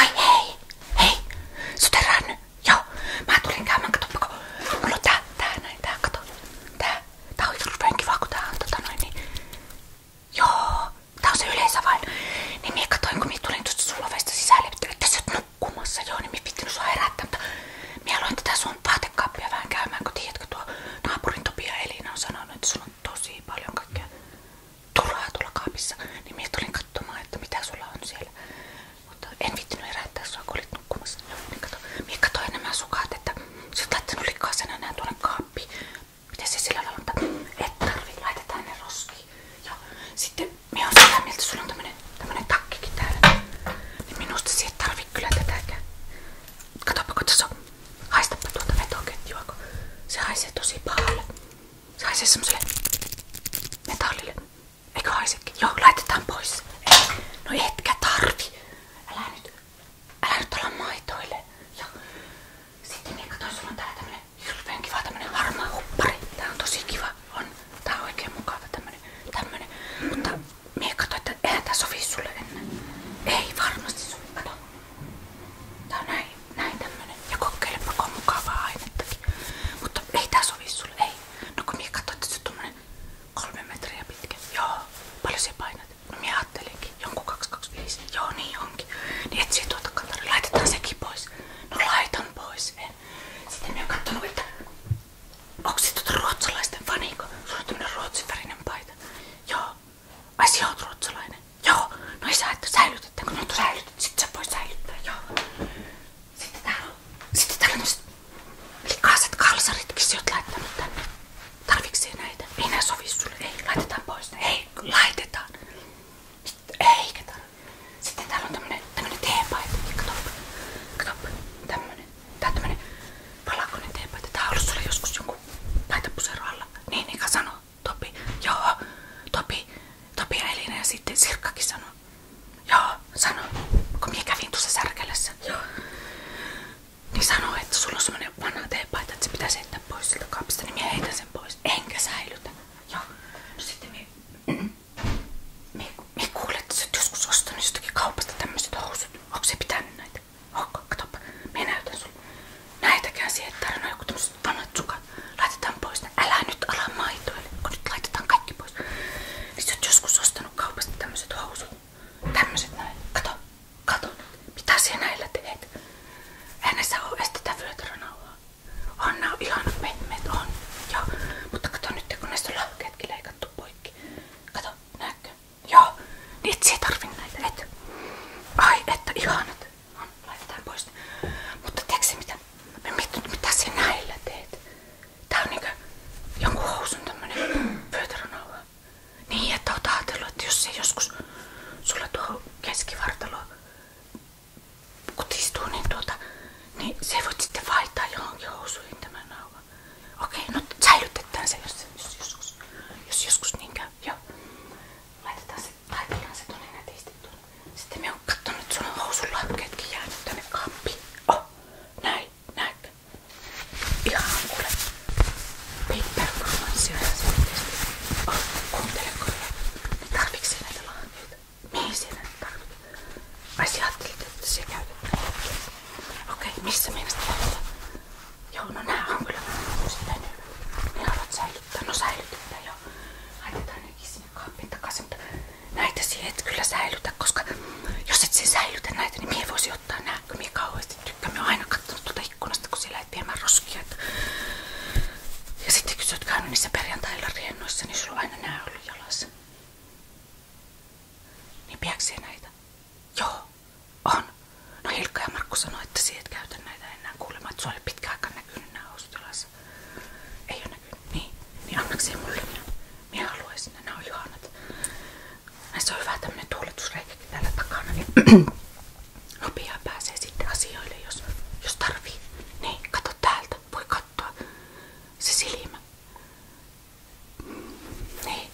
Ai hei! Hei! Sut heränny? Joo. Mä tulin käymään, katsoppa kun mulla on tää, tää näin, tää kato. Tää. Tää on hirveen kiva kun tää on tota noin niin. Joo. Tää on se yleensä vain. Niin mie katoin kun mie tulin tuosta sulavesta sisälle, että sä oot nukkumassa. Joo, niin mie pitänyt sua herättää, mutta mie aloin tätä sun vaatekaappia vähän käymään, kun tiedätkö tuo naapurin Topia Elina on sanonut, että sulla on tosi paljon kaikkea turhaa tuolla kaapissa, niin minä tulin katsomaan, että mitä sulla on siellä. Mutta en vittinyt herättää sua, kun olit nukkumassa. Niin kato, minä katsoin nämä sukat, että sä oot laittanut likaisena nää tuonne kaappiin. Miten se sillä lailla on, et tarvi, laitetaan ne roskiin. Ja sitten minä olen sitä mieltä, sulla on tämmönen, tämmönen takkikin täällä. Niin minusta siihen tarvii kyllä tätäkään. Katsopa, katso. Haistapa tuota vetoketjua, kun se haisee tosi pahalle. Se haisee semmoselle metallille. Eikö haisekin? Joo, laitetaan pois. Ei. No etkä tarvi. Älä nyt, älä nyt olla maitoille. Joo. Sitten minä katsoin, sulla on täällä tämmönen hirveän kiva tämmönen harmaa huppari. Tää on tosi kiva. On. Tää on oikein mukava tämmönen. tämmönen. Mutta minä katsoin, että eihän tää sovi sulle ennen. Ei varmasti sovi, kato. Tää on näin, näin tämmönen. Ja kokeilepa, on mukavaa ainettakin. Mutta ei tää sovi sulle, ei. No kun minä katsoin, että se on tommonen kolme metriä pitkä. Joo, paljon se painat? No minä ajattelinkin, jonkun 225. Joo, niin onkin. Niin etsii tuota kantari, laitetaan sekin pois. No laitan pois, en. Sitten minä oon kattonut, että onko se tuota ruotsalaisten faniko? Sulla on tämmönen ruotsinvärinen paita. Joo, Ai sinä oot ruotsalainen? Joo. No ei saa, että säilytetään, kun nyt on säilytetty. Sitten sä voi säilyttää, joo. Sitten täällä on, sitten täällä on likaiset kalsaritkin, sä oot laittanut tänne. Tarviksee näitä? Ei nää sovi sulle. Ei, laitetaan pois. Ei, laitetaan. Sitten, eikä Sitten täällä on tämmönen, tämmönen teepaita. Kato, kato, tämmönen tämmönen, tää on tämmönen valakkoinen teepaita. Tää on Niin, Nika sanoo. Topi, joo. Topi, Topi ja Elina ja sitten Sirkkakin sanoo. Joo, sanoo. Kun minä kävin tuossa särkälässä. Joo. Niin sanoo, että sulla on semmonen se pitäisi heittää pois siltä kapista. Niin minä heitän sen Enkä säilytä. Joo. No sitten minä... Mm-hmm. Mie kuulet, että sä oot joskus ostanut tämmöiset housut. Onko se pitänyt näitä? Hokka, oh, katoppa. Minä näytän sulle. Näitäkään siihen tarinoja, joku tämmöset vanhat sukat. Laitetaan pois ne. Älä nyt ala maitoille, kun nyt laitetaan kaikki pois. Niin sä oot joskus ostanut kaupasta tämmöset housut. Tämmöset näin. Kato, kato. Mitä siellä näillä teet? Eihän näissä oo edes tätä vyötärönauhaa. On nää ihanat pehmeet, on. Joo. Mutta kato nyt, kun näistä on lahkeetkin leikattu poikki. Kato, näkö? Joo, niin et tarvi näitä, et. Ai, että ihanat. No, laitetaan pois. Mutta tiedätkö mitä? Mä mietin, mitä sä näillä teet. Tää on niinku jonkun Niin, että oot jos se joskus sulla tuo keskivartalo kutistuu, niin tuota, niin se voit sitten vaihtaa johonkin housuihin tämän nauhan olla. Okei, no säilytetään se, jos, jos joskus, jos joskus niin käy. Joo. Laitetaan se, laitetaan se tonne nätisti tonne. Sitten me on kattonut, että sun housunlahkeetkin jäänyt tänne kampiin. Oh, näin, näinkö? Ihan kuule. Papercromansia ja se oikeesti. Oh, kuuntele kuule. Tarviiko näitä lahkeita? Mihin sinä tarvitset? Vai sä ajattelit, että se käytetään? Okei, okay, missä mielestä käytetään? Joo, no nää on kyllä sitten hyvä. Ne haluat säilyttää. No säilytetään jo. Laitetaan nekin sinne kaappiin takaisin, mutta näitä siihen et kyllä säilytä, koska jos et sen säilytä näitä, niin mie voisi ottaa nää, kun mie kauheasti tykkään. Mie oon aina kattonut tuota ikkunasta, kun siellä et viemään roskia. Että... Ja sitten kun sä oot käynyt niissä perjantailla riennoissa, niin sulla on aina nää ollut jalassa. Niin piäksee näitä? Joo, on. No Hilkka ja Markku sanoi, että siitä et käytä näitä enää kuulemaan, että se oli pitkä aika näkynyt nämä housutilassa. Ei ole näkynyt. Niin, niin annakseen mulle. Minä haluaisin, nämä on ihanat. Näissä on hyvä tämmönen tuuletusreikäkin täällä takana, niin nopeaa pääsee sitten asioille, jos, jos tarvii. Niin, kato täältä, voi katsoa se silmä. Niin.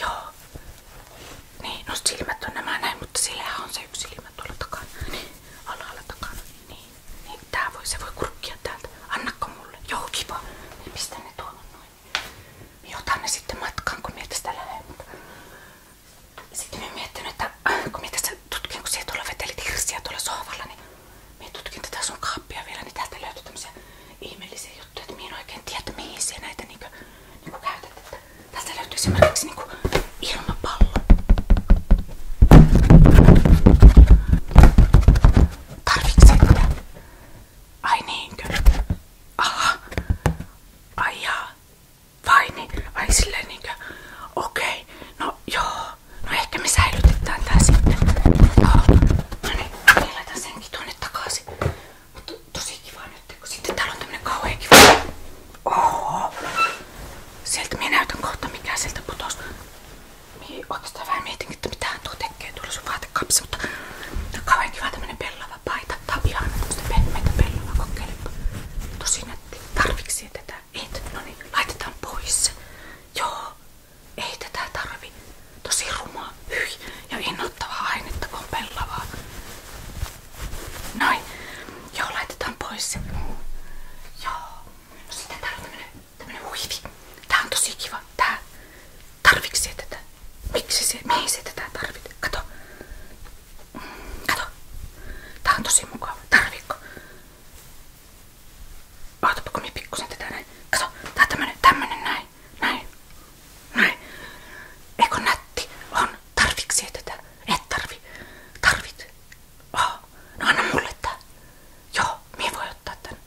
Joo. Niin, no silmät näin, mutta sillähän on se yksi silmä tuolla niin. alhaalla takana. Niin, niin tää voi, se voi kurkkia täältä. Annakko Joo, kiva. Niin ne tuohon noin. Niin ne sitten matkaan, kun Sitten mä miettinyt, että kun mietin, tutkinko siellä tuolla vetelit hirsiä tuolla sohvalla, niin me tutkin tätä sun kaappia vielä, niin täältä löytyy tämmöisiä ihmeellisiä juttuja, että minä en oikein tiedä mihin siellä näitä niin kuin käytät. Että täältä löytyy esimerkiksi niinku ilmapallo. Tarvitset sitä? Ai niinkö? Aha. Ai jaa. Ai niin? silleen niinkö? Okei. Okay. No joo. Joo. No ehkä me säilytetään tää sitten. Joo. No niin, me laitan senkin tuonne takaisin. Mutta tosi kiva nyt, kun sitten täällä on tämmönen kauhean kiva. Oho. Sieltä minä näytän kohta mikä sieltä putosi. Mie oikeastaan vähän mietinkin, että mitähän tuo tekee tuolla sun vaatekapsi, mutta tää on kauhean kiva tämmönen pellava paita. Tää on ihana tämmöstä pehmeitä pellava, kokeilepa. Tosi nätti. Tarviksi tätä? Et, no niin, laitetaan pois se. Joo, ei tätä tarvi. Tosi rumaa, hyi ja innoittavaa ainetta, kun on pellavaa. Noin. Joo, laitetaan pois se. Joo. No sitten täällä on huivi. Tää on tosi kiva. Tää. Tarviks se tätä? Miksi se? Mihin se tarvit? Kato. Mm, kato. on tosi mukava. Tarvitko? Ootapa kun minä pikkusen tätä näin. Kato, tää on tämmönen, tämmönen näin. Näin. Näin. Eikö nätti? On. Tarviksi tätä? Et tarvi. Tarvit. Oh. No anna mulle tää. Joo, minä voi ottaa tän.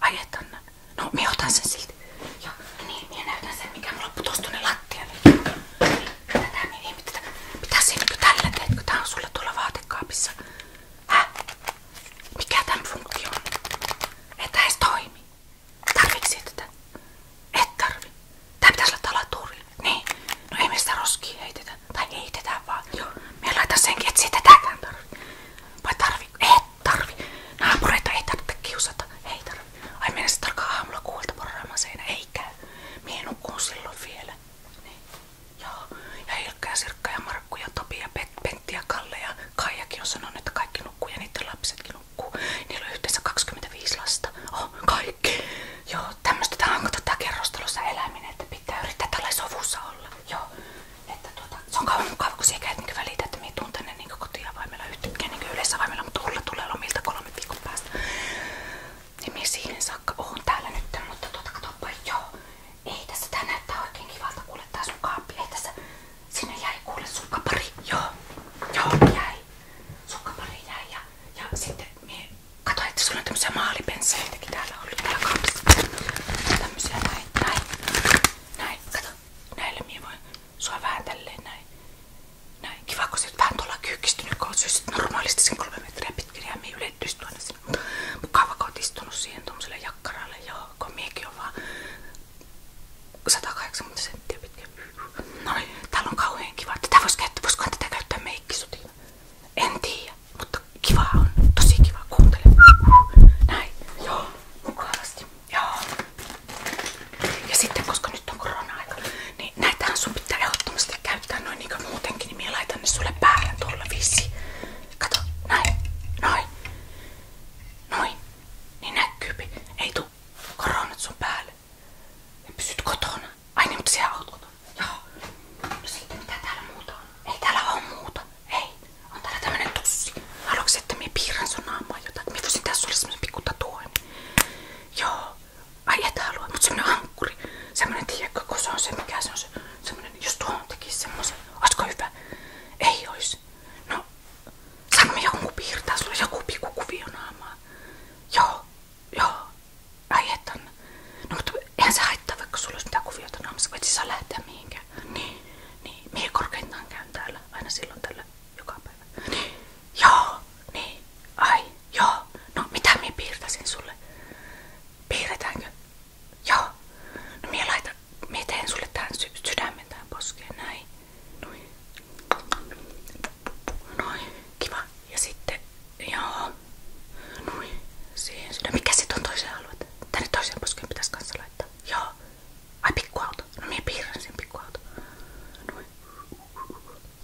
Ai et anna. No minä otan sen silti. Joo, niin, minä näytän sen, mikä mulla putosi tuonne lattialle. Mitä Mitä, mitä se tällä teetkö? Tää on sulla tuolla vaatekaapissa. Häh? Mikä tämän funktio on? Ei toimi. Tarvitsee tätä? Et tarvi. Tää pitäis Niin. No ei me sitä roskia heitetä. Tai heitetään vaan. Me laitan senkin, et siitä tääkään tarvi. Vai tarvi? Et tarvi. Naapureita ei tarvitse kiusata. Ei tarvi. Ai mennä kuulta porraamaan seinä. Ei käy. Mie nukkuun silloin vielä. Niin. Joo. Ja Ilkka ja Sirkka ja Markku ja Topi ja Pet, Pentti ja Kalle ja Kaijakin on sanonut, että kaikki nukkuu ja niiden lapsetkin nukkuu. Niillä on yhteensä 25 lasta. Oh, kaikki. Joo, tämmöstä tää on tota kerrostalossa eläminen, että pitää yrittää tällä sovussa olla. Joo. Että tuota, se on kauan mukava, kun siellä käyt niinku välitä, että me tuun tänne niinku kotiavaimella yhtäkkiä niinku yleisavaimella, mutta Ulla tulee lomilta kolme viikon päästä. Niin me siihen saakka oon täällä nyt, mutta tuota katoppa joo. Ei tässä tää näyttää oikein kivalta kuule tää sun kaappi. Ei tässä, sinne jäi kuule sukkapari. Joo, joo jäi. Sukkapari jäi ja, ja sitten mie katoin, että sulla on tämmösiä maalipensseiltäkin täällä ollut täällä kaapissa. Tämmösiä näin, näin, näin, kato. Näillä mie voin sua vähän tälleen näin. Näin, kiva kun sit vähän tuolla kyykkistynyt, kun oot normaalisti sen kolme metriä pitkin ja minä ylettyisi tuonne sinne. Mukava kun oot istunut siihen tommoselle jakkaralle, joo, kun miekin on vaan 180 senttiä pitkä. No niin, täällä on kauhean kiva. Tätä vois käyttää, voisikohan tätä käyttää meikkisutina? En tiedä, mutta kiva on, tosi kiva, kuuntele. Näin, joo, mukavasti, joo. Ja sitten koska nyt on korona-aika, niin näitähän sun pitää ehdottomasti käyttää noin niinku muutenkin, niin minä laitan ne sulle päähän tuolla viisi. Kato, näin, noin, noin, niin näkyypi. Ei tuu koronat sun päälle. Ja pysyt kotona. Ai niin, mutta Joo. No sitten mitä täällä Ei täällä Ei. On täällä tämmönen tussi. Haluatko että piirrän sun naamaa jotain? Minä sulle semmosen pikku tatuoin. Joo. Ai et halua, mutta semmonen ankkuri. Semmonen tiedätkö, kun se on se, mikä se on se. Semmonen, jos tuohon tekis semmosen. Oisko hyvä? Ei ois. No, sano jonkun piirtää sulle joku pikku kuvio naamaa. Joo, joo. Ai et Anna. No mutta eihän se haittaa, vaikka sulla olisi mitään kuviota naamassa. Voit siis saa lähteä mihinkään. Niin, niin. Mihin korkeintaan käyn täällä? Aina silloin tällä joka päivä. Niin. joo, niin, ai, joo. No mitä minä piirtäisin sulle? Piirretäänkö? Joo. No minä laitan, minä teen sulle tähän sy sydämen tähän poskeen, näin. kiva. Ja sitten, joo. Noin, siihen sydämen. Mikä on toiseen alueelle? Tänne toiseen poskeen pitäisi kanssa Joo. Ai pikkuauto. No minä piirrän sen pikkuauto. Noin.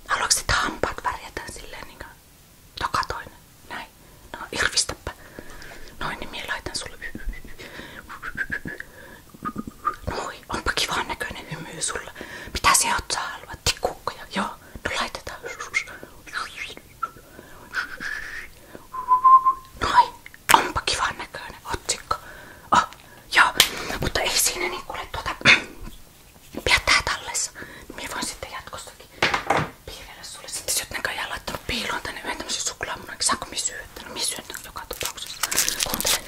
Haluatko sitä hampaat värjätä silleen niinku tokatoinen? Näin. No irvistäpä. Noin, niin minä laitan sulle. Moi, onpa kivan näköinen hymy sulla. Mitä se oot saa haluat? Tikkukkoja? Joo, no laitetaan. Noin, Onpa kivan näköinen otsikko. Oh, joo, mutta ei siinä niin kuule tuota... Pidä tää tallessa. Minä voin sitten jatkostakin piirrellä sulle. Sitten sä oot näköjään laittanut piiloon tänne yhden tämmösen suklaamunakin. Niin saanko minä syöttää? No minä syötän joka tapauksessa. Kuuntele.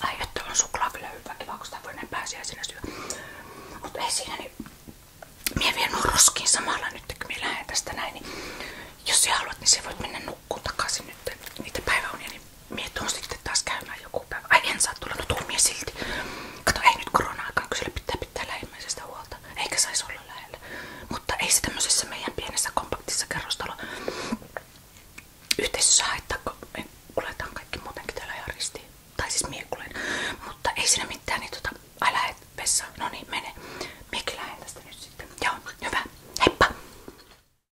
Ai suklaa kyllä hyvä kiva, voi näin pääsiäisenä syö. Mut ei siinä niin... Mie vien nyt kun mie lähden tästä näin, niin jos haluat, niin sä voit mennä nukkuun takaisin nyt niitä päiväunia, niin Mie tuon sitten taas käymään joku päivä. Ai en saa tulla, no tuu mie silti. Kato, ei nyt korona-aikaan, kyllä pitää pitää lähimmäisestä huolta. Eikä saisi olla lähellä. Mutta ei se tämmöisessä meidän pienessä kompaktissa kerrostalo yhteisössä haittaa, kun me kuletaan kaikki muutenkin täällä ihan ristiin. Tai siis mie kulen. Mutta ei siinä mitään, niin tota, ai lähet vessaan. No niin, mene. Miekin lähden tästä nyt sitten. Joo, hyvä. Heippa!